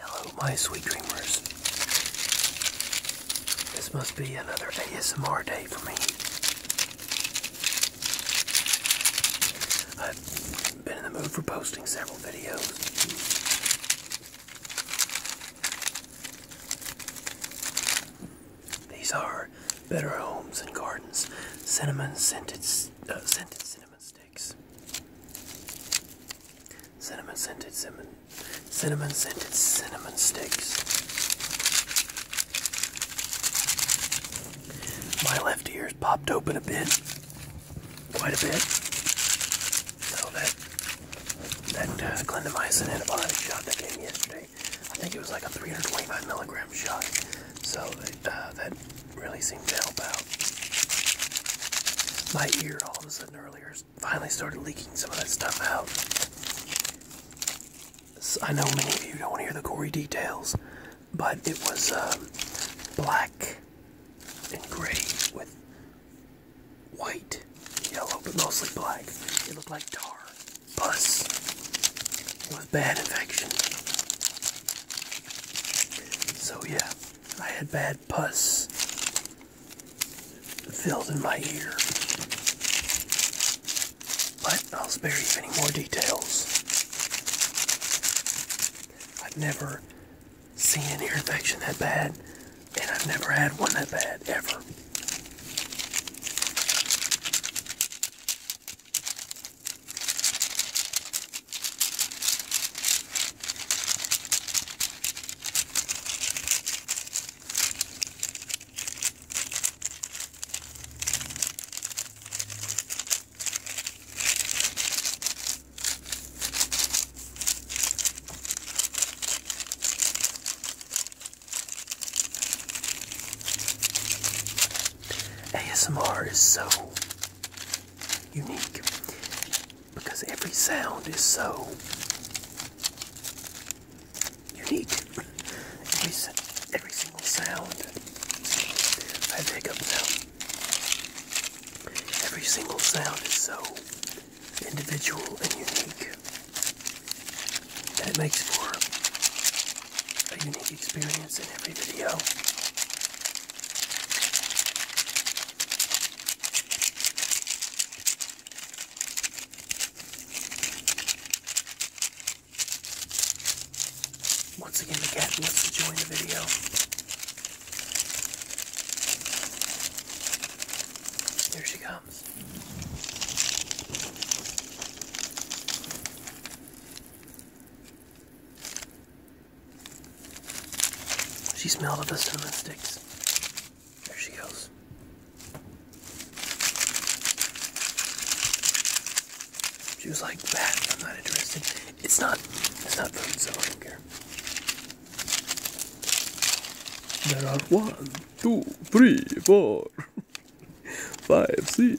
Hello, my sweet dreamers. This must be another ASMR day for me. I've been in the mood for posting several videos. These are Better Homes and Gardens cinnamon scented uh, scented cinnamon sticks. Cinnamon scented cinnamon cinnamon scented cinnamon sticks. My left ear's popped open a bit. Quite a bit. So that that uh, antibiotic shot that came yesterday, I think it was like a 325 milligram shot. So uh, that really seemed to help out. My ear all of a sudden earlier finally started leaking some of that stuff out. I know many of you don't want to hear the gory details, but it was um, black and gray with white, yellow, but mostly black. It looked like tar, pus. It was bad infection. So yeah. I had bad pus filled in my ear. But I'll spare you any more details. I've never seen an ear infection that bad, and I've never had one that bad, ever. ASMR is so unique because every sound is so unique. Every, every single sound. I have hiccups now. Every single sound is so individual and unique that it makes for a unique experience in every video. Once again, the cat wants to join the video. Here she comes. She smelled of the cinnamon sticks. There she goes. She was like, "That I'm not interested. It's not. It's not food, so I don't care." There are one, two, three, four, five, six,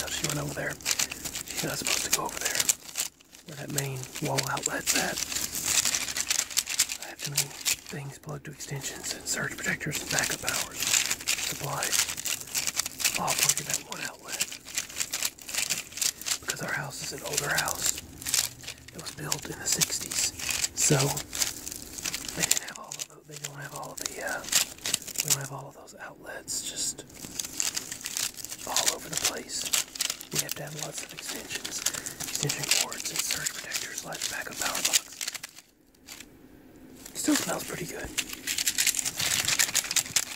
Now she went over there. She's not supposed to go over there where that main wall outlet's at. I have too many things plugged to extensions and surge protectors and backup powers, supplies, all plugged to that one outlet. Because our house is an older house. It was built in the 60s. So, they didn't have all of those they don't have all the we uh, don't have all of those outlets just all over the place. We have to have lots of extensions, extension cords, and surge protectors, like backup power box. Still smells pretty good.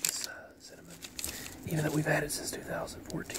This uh, cinnamon, even though we've had it since 2014.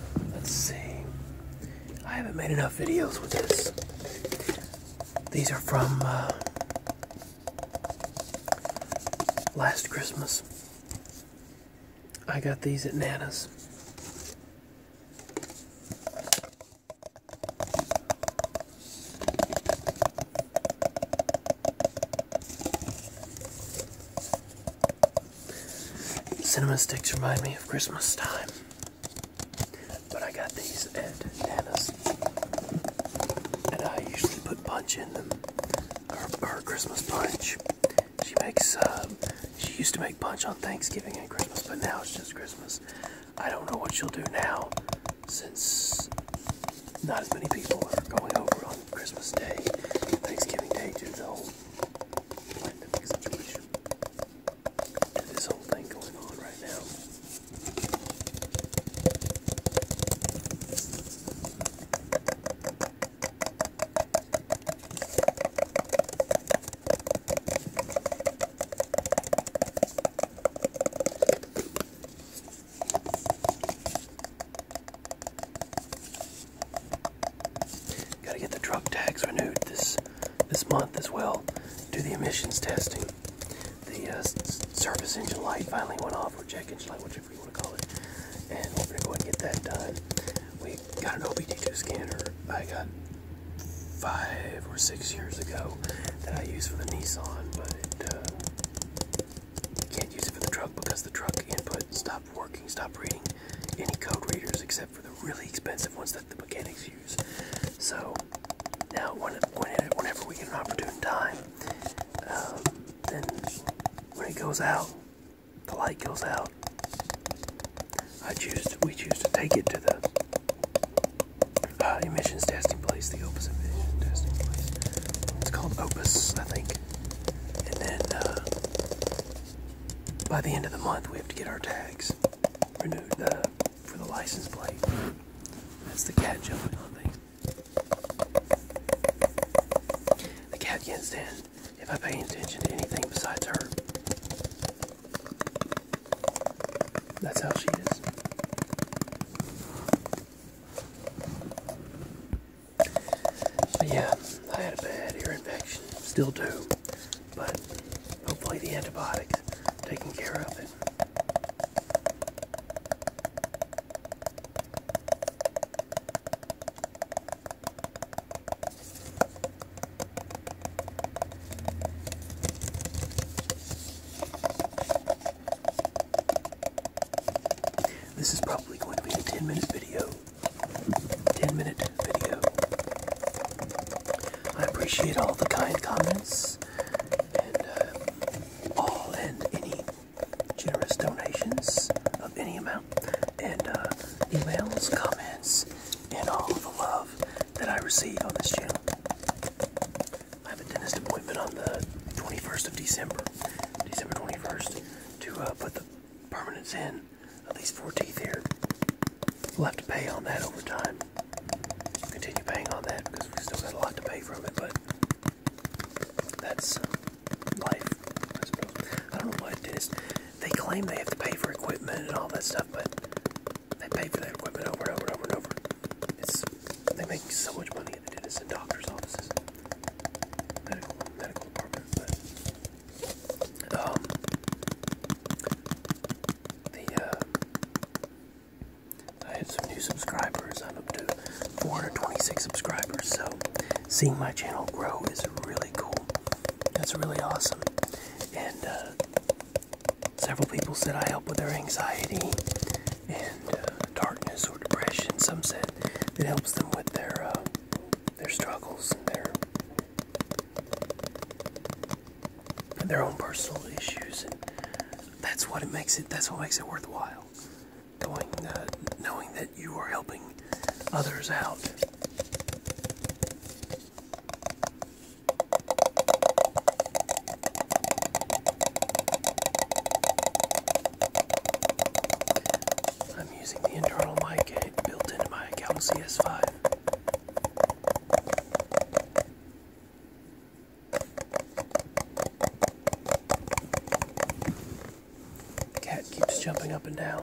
Let's see. I haven't made enough videos with this. These are from uh, last Christmas. I got these at Nana's. Cinnamon sticks remind me of Christmas time. But I got these at Nana's. And I usually put punch in them. Or, Christmas punch. She makes, um, she used to make punch on Thanksgiving and Christmas, but now it's just Christmas. I don't know what she'll do now since not as many people are going over on Christmas Day, Thanksgiving Day due to the whole pandemic situation to this whole thing going on right now. Gotta get the truck tags renewed this this month as well. Do the emissions testing. The uh, service engine light finally went off, or check engine light, whichever you want to call it. And we're gonna go ahead and get that done. We got an OBD2 scanner I got five or six years ago that I used for the Nissan, but it, uh, can't use it for the truck because the truck input stopped stop working, stop reading any code readers except for the really expensive ones that the mechanics use. So now, whenever we get an opportune time, um, then when it goes out, the light goes out. I choose. we choose to take it to the uh, emissions testing place, the Opus emission testing place. It's called Opus, I think and then uh, by the end of the month we have to get our tags renewed uh, for the license plate. That's the cat jumping on things. The cat can't stand if I pay attention to anything besides her. That's how she is yeah, I had a bad ear infection. Still do. But hopefully the antibiotics taking care of it. This is probably going to be a 10 minute video. 10 minute video. I appreciate all the kind comments and uh, all and any generous donations of any amount and uh, emails, comments, and all of the love that I receive on this channel. I have a dentist appointment on the 21st of December. December 21st to uh, put the permanents in. At least four teeth here. We'll have to pay on that over time. Continue paying on that because we still got a lot to pay from it, but that's uh, life. I suppose. I don't know why dentists they claim they have to pay for equipment and all that stuff, but they pay for that equipment over and over and over and over. It's they make so much money at the dentist and doctors' offices medical medical but um, the uh, I had some new subscribers. I'm up to 426 subscribers, so seeing my channel grow is really cool. That's really awesome, and uh, several people said I help with their anxiety, uh, darkness or depression. Some said it helps them with their uh, their struggles and their their own personal issues, and that's what it makes it. That's what makes it worthwhile. Going, uh, knowing that you are helping others out. I'm using the internal mic built into my Galaxy S5. Cat keeps jumping up and down.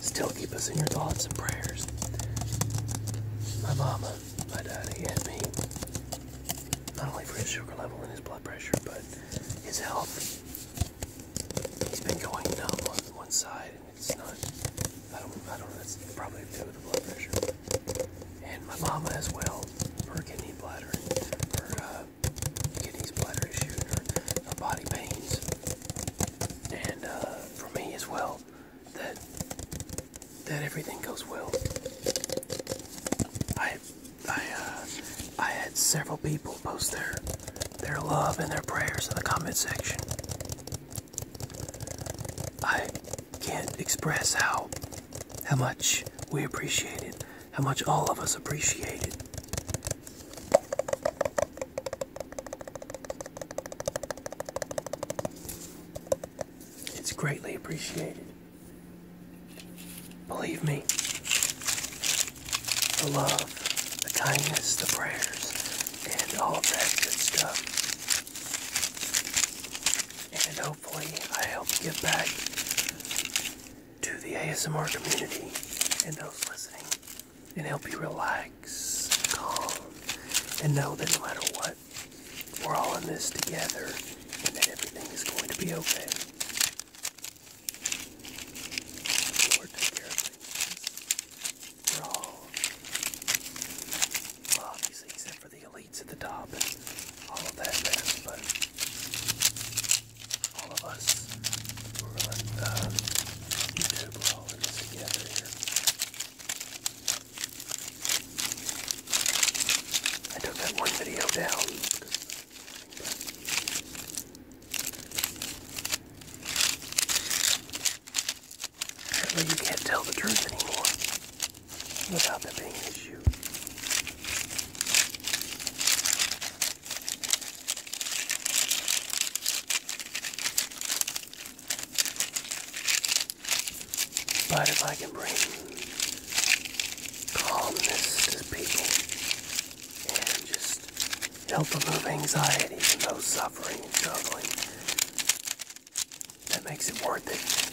Still keep us in your thoughts and prayers. My mama, my daddy, and me. Not only for his sugar level and his blood pressure, but his health he's been going numb on one side, and it's not. I don't. I don't. That's probably to do with the blood pressure. And my mama as well. for kidney bladder, and her uh, bladder issue, and body pains, and uh, for me as well. That that everything goes well. I I uh, I had several people post their their love and their prayers in the comment section. I can't express how how much we appreciate it, how much all of us appreciate it. It's greatly appreciated. Believe me, the love, the kindness, the prayers, and all of that good stuff. And hopefully, I help get back to the ASMR community and those listening and help you relax, calm, and know that no matter what, we're all in this together and that everything is going to be okay. Lord, take care of We're all, obviously, except for the elites at the top all of that but all of us, we're on uh, together I took that one video down you can't tell the truth anymore without there being an issue. But if I can bring calmness to people, and just help remove anxiety from those suffering and struggling. That makes it worth it.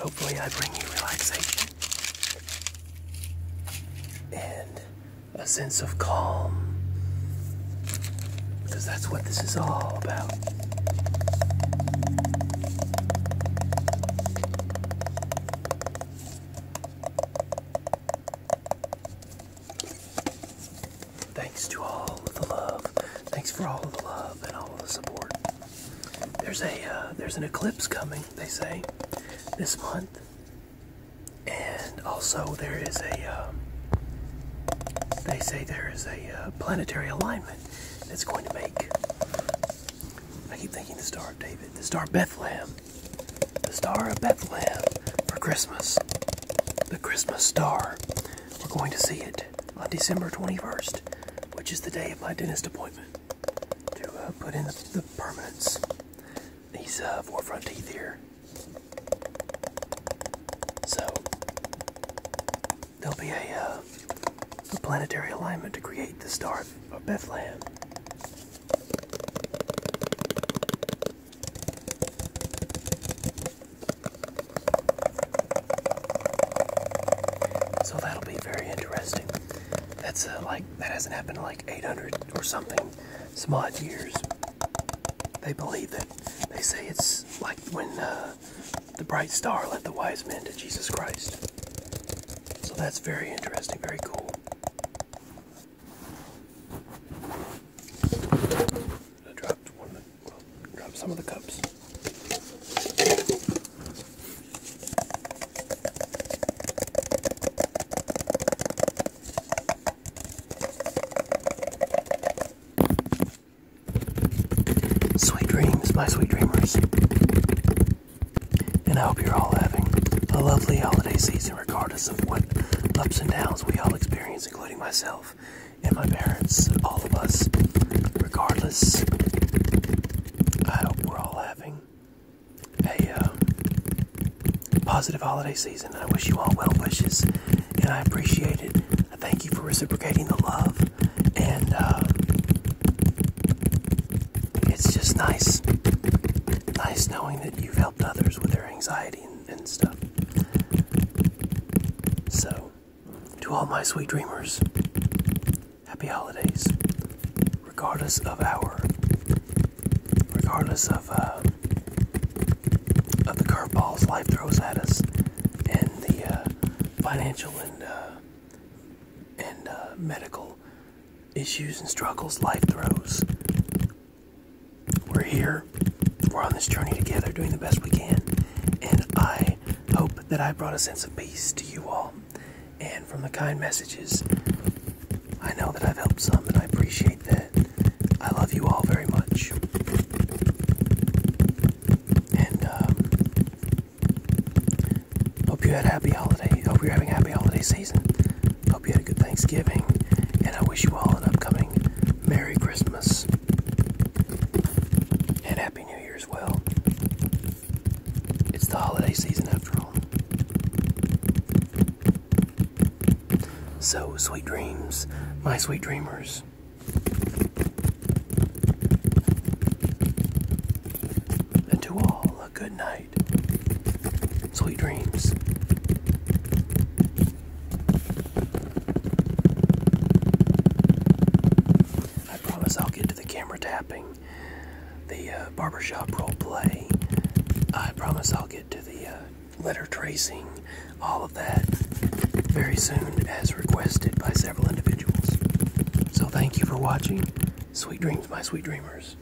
hopefully, I bring you relaxation and a sense of calm because that's what this is all about. Thanks to all of the love. Thanks for all of the love and all of the support. There's a uh, there's an eclipse coming. They say this month, and also there is a. Um, they say there is a uh, planetary alignment that's going to make. I keep thinking the Star of David, the Star of Bethlehem, the Star of Bethlehem for Christmas, the Christmas star. We're going to see it on December 21st, which is the day of my dentist appointment to uh, put in the, the These uh, four teeth here. So there'll be a, uh, a planetary alignment to create the star of Bethlehem. So that'll be very interesting. That's uh, like that hasn't happened in like 800 or something, some odd years. They believe that. They say it's like when uh, the bright star led the wise men to Jesus Christ. So that's very interesting, very cool. I some of the cups. Sweet dreams, my sweet dreamers. And I hope you're all having a lovely holiday season, regardless of what ups and downs we all experience, including myself and my parents, all of us, regardless I hope we're all having a uh, positive holiday season. I wish you all well wishes, and I appreciate it. I thank you for reciprocating the love, and uh, it's just nice, nice knowing that you've helped others with their anxiety and stuff. So, to all my sweet dreamers, happy holidays, regardless of our, regardless of uh, of the curveballs life throws at us, and the uh, financial and uh, and uh, medical issues and struggles life throws. We're here. We're on this journey together, doing the best we can, and I hope that I brought a sense of peace to you all. And from the kind messages, I know that I've helped some, and I appreciate that. I love you all very much. And um, hope you had a happy holiday. Hope you're having a happy holiday season. Hope you had a good Thanksgiving. And I wish you all an upcoming Merry Christmas and Happy. New Year's well. It's the holiday season after all. So, sweet dreams, my sweet dreamers. And to all, a good night. Sweet dreams. I promise I'll get to the camera tapping, the uh, barbershop role play. I promise I'll get to the uh, letter tracing, all of that very soon as requested by several individuals. So thank you for watching. Sweet dreams, my sweet dreamers.